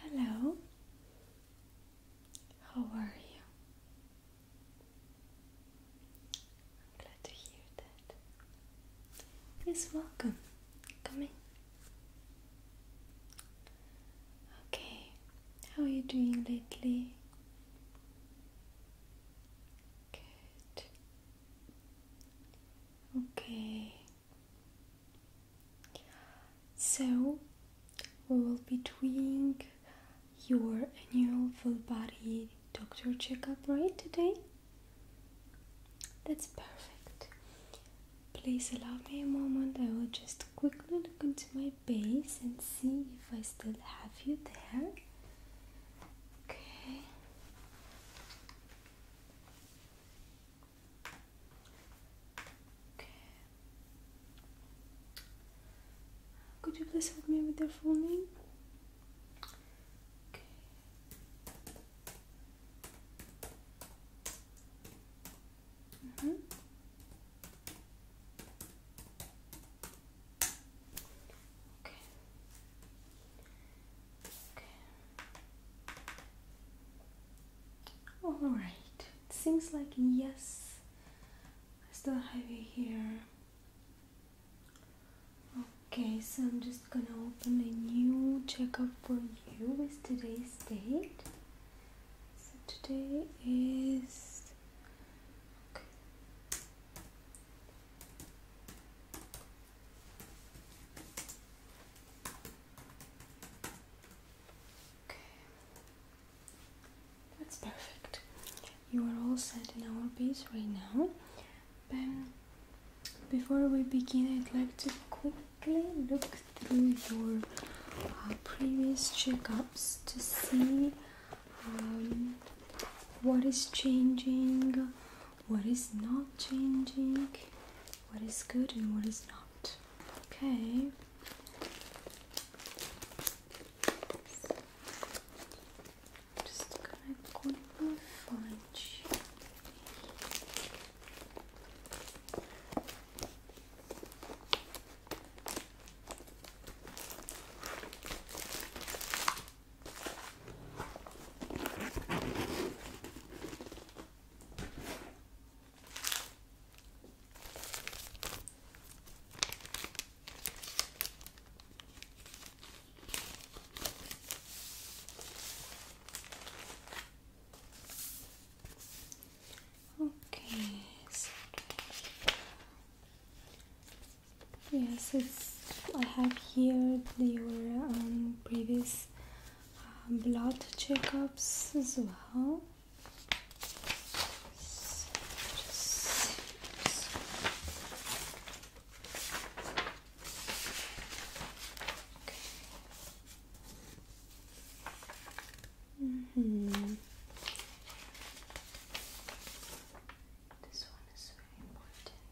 Hello, how are you? i glad to hear that. Yes, welcome. Come Okay, how are you doing lately? Good. Okay, so, we will be doing your annual full body doctor checkup right today. That's perfect. Please allow me a moment. I will just quickly look into my base and see if I still have you there. Okay. Could you please help me with their full name? Okay. Mm-hmm. Okay. Okay. Alright, it seems like yes. I still have you here. Okay, so I'm just gonna open a new checkup for you with today's date. So today is Okay. That's perfect. You are all set in our piece right now. But before we begin, I'd like to quickly look through your uh, previous checkups to see um, what is changing, what is not changing, what is good, and what is not. Okay. just gonna quickly find you. Okay, yes, it's I have here your previous um, blood checkups as well. So just mm-hmm.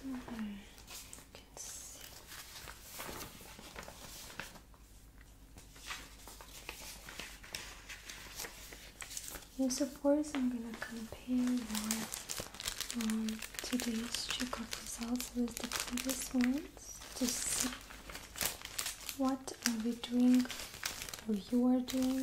Okay. -hmm. You can see. Yes, of course, I'm gonna compare your um, today's checkup results with the previous ones to see what are we doing or you are doing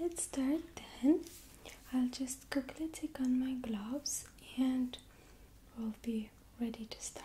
Let's start then. I'll just quickly take on my gloves and we'll be ready to start.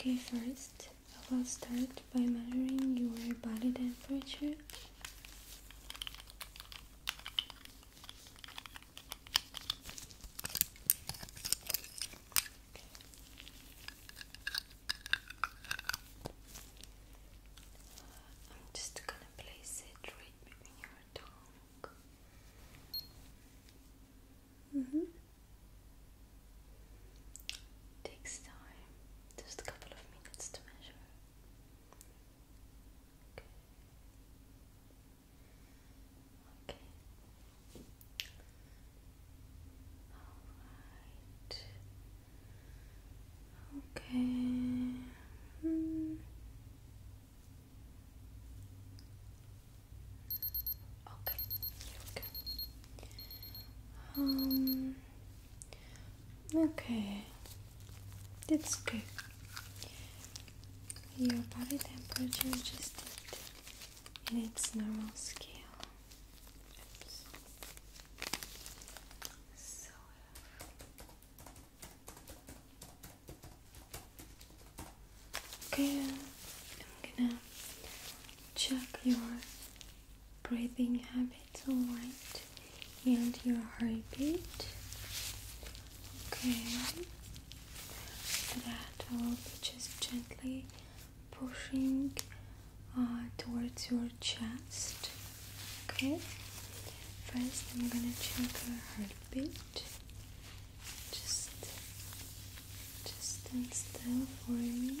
Okay, first I will start by measuring your body temperature. I'm just gonna place it right between your tongue. Mm -hmm takes time, just a couple of minutes to measure. Okay. Okay. Alright. Okay, hmm. okay. Um Okay, that's good. Your body temperature adjusted in its normal scale. Okay, I'm gonna check yours breathing habits, alright, and your heartbeat. Okay, that, will be just gently pushing uh, towards your chest. Okay, first, I'm gonna check your heartbeat. Just, just stand still for me.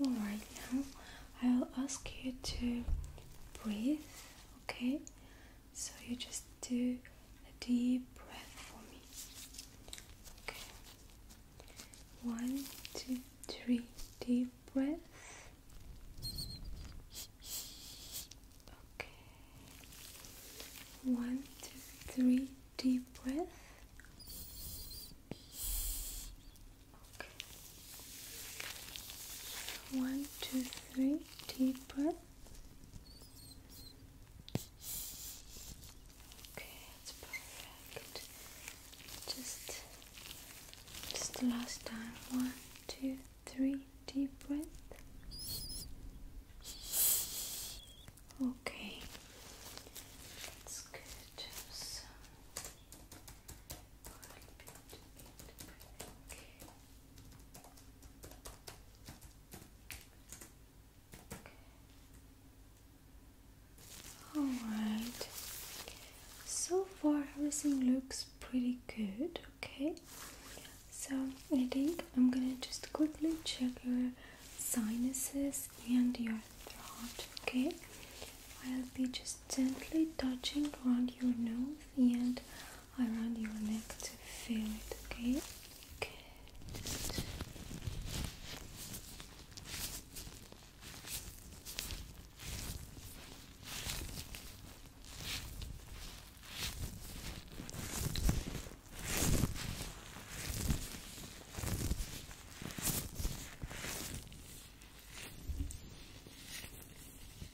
All right, now I'll ask you to breathe okay? So you just do a deep breath for me. Okay. One, two, three, deep breath. Okay. One, two, three, deep breath. Okay. One, two, three, deeper. Okay, that's perfect. Just, just the last time. One, two, three, deep breath. Okay, that's good. All right. So far, everything looks pretty good. Okay. So I think I'm gonna just quickly check your sinuses and your throat. Okay. I'll be just gently touching around your nose and around your neck to feel it, okay?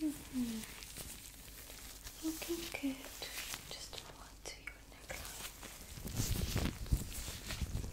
Mm -hmm. Looking good. Just move to your neckline.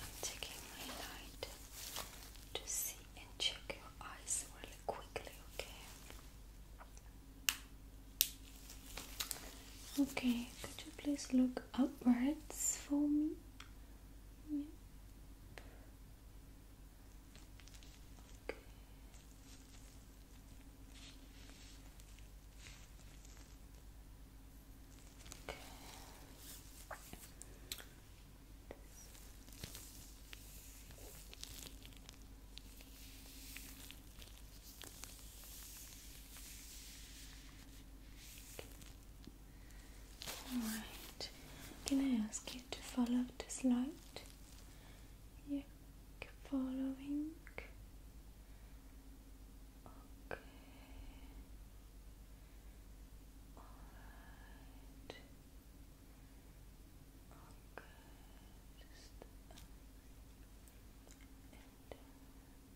I'm taking my light to see and check your eyes really quickly, okay? Okay, could you please look upwards for me? Yep. Okay. Okay. Okay. Alright, can I ask you to follow this light? You're following. Okay. Alright. Okay. Just and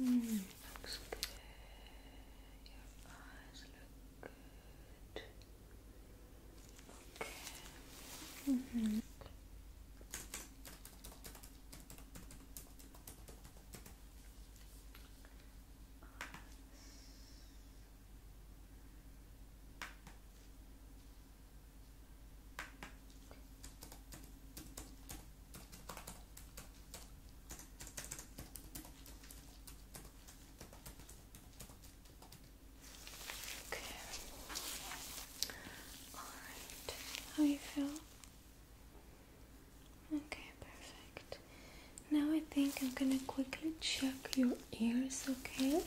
Mm, looks good. Your eyes look good. Okay. Mm -hmm. Okay. Okay. Alright. How you feel? Okay, perfect. Now I think I'm gonna quickly check your ears, okay?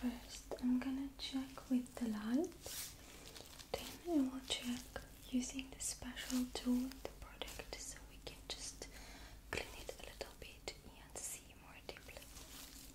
First, I'm gonna check with the light then I will check using the special tool the product so we can just clean it a little bit and see more deeply Okay.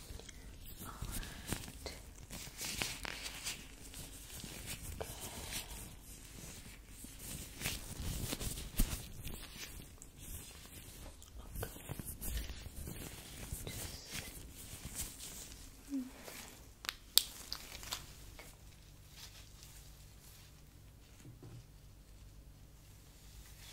Alright. Okay. Just... -hmm.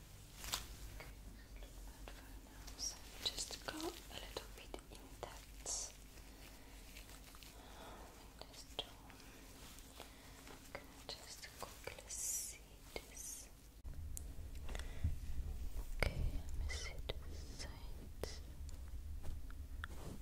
Good, now. just go a little bit in depth in this just quickly see this? Okay, let me see the sides. Alright.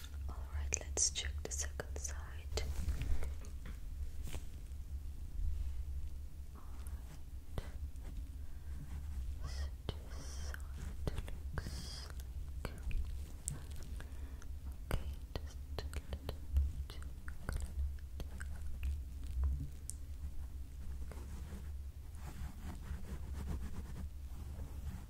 Alright, let's check the second side. Alright. side looks Okay.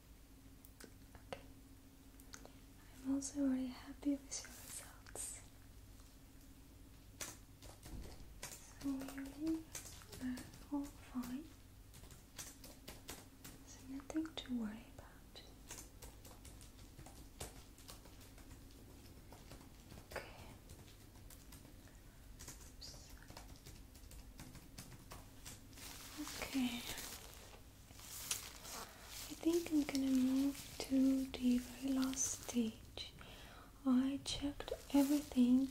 I'm also already happy with your results. So really, are uh, all fine. So nothing to worry about. Okay. Okay. I think I'm gonna move to the very last stage. I checked everything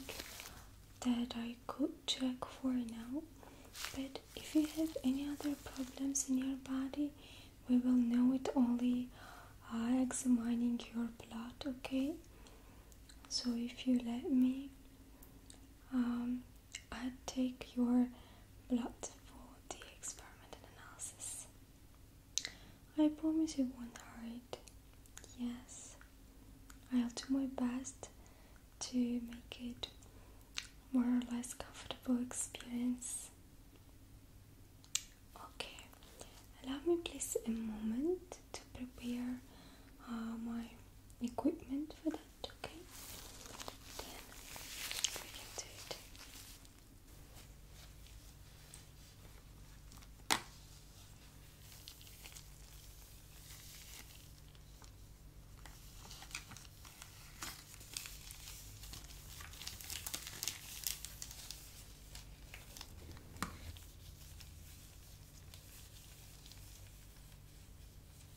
that I could check for now, but if you have any other problems in your body, we will know it only by uh, examining your blood, okay? So if you let me, um, I'd take your blood for the experiment and analysis. I promise you won't hurt. Yes, I'll do my best to make it more or less comfortable experience. Okay, allow me please a moment to prepare uh, my equipment for that front, okay? Then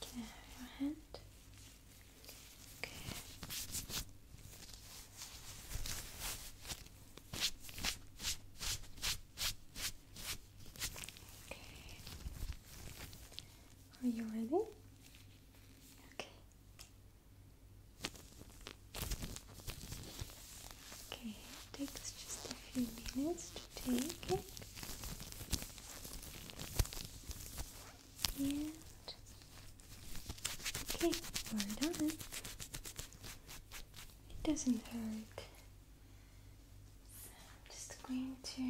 Can I have your hand? Okay. Okay. Are you ready? Okay. Okay, it takes just a few minutes to take it. And okay, we're done. It doesn't hurt. I'm just going to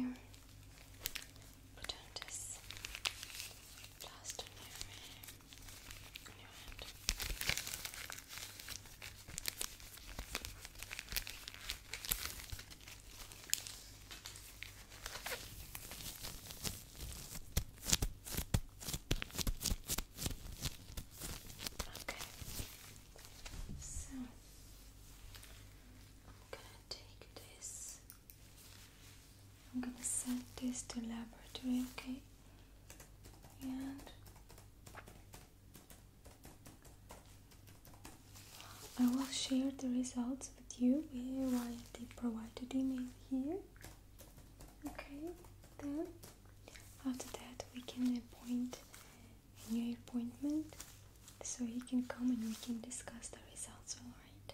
put on this just on your your hand. Okay. So I'm gonna take this I'm gonna send this to laboratory, okay? And I will share the results with you via the provided email here. Okay, then after that we can appoint a new appointment so he can come and we can discuss the results, alright?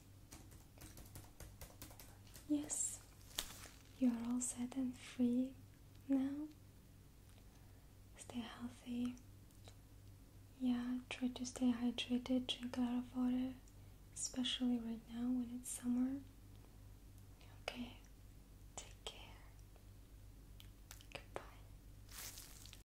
Yes, you are all set and free now. Stay healthy. Yeah, try to stay hydrated, drink a lot of water, especially right now when it's summer. Okay, take care. Goodbye.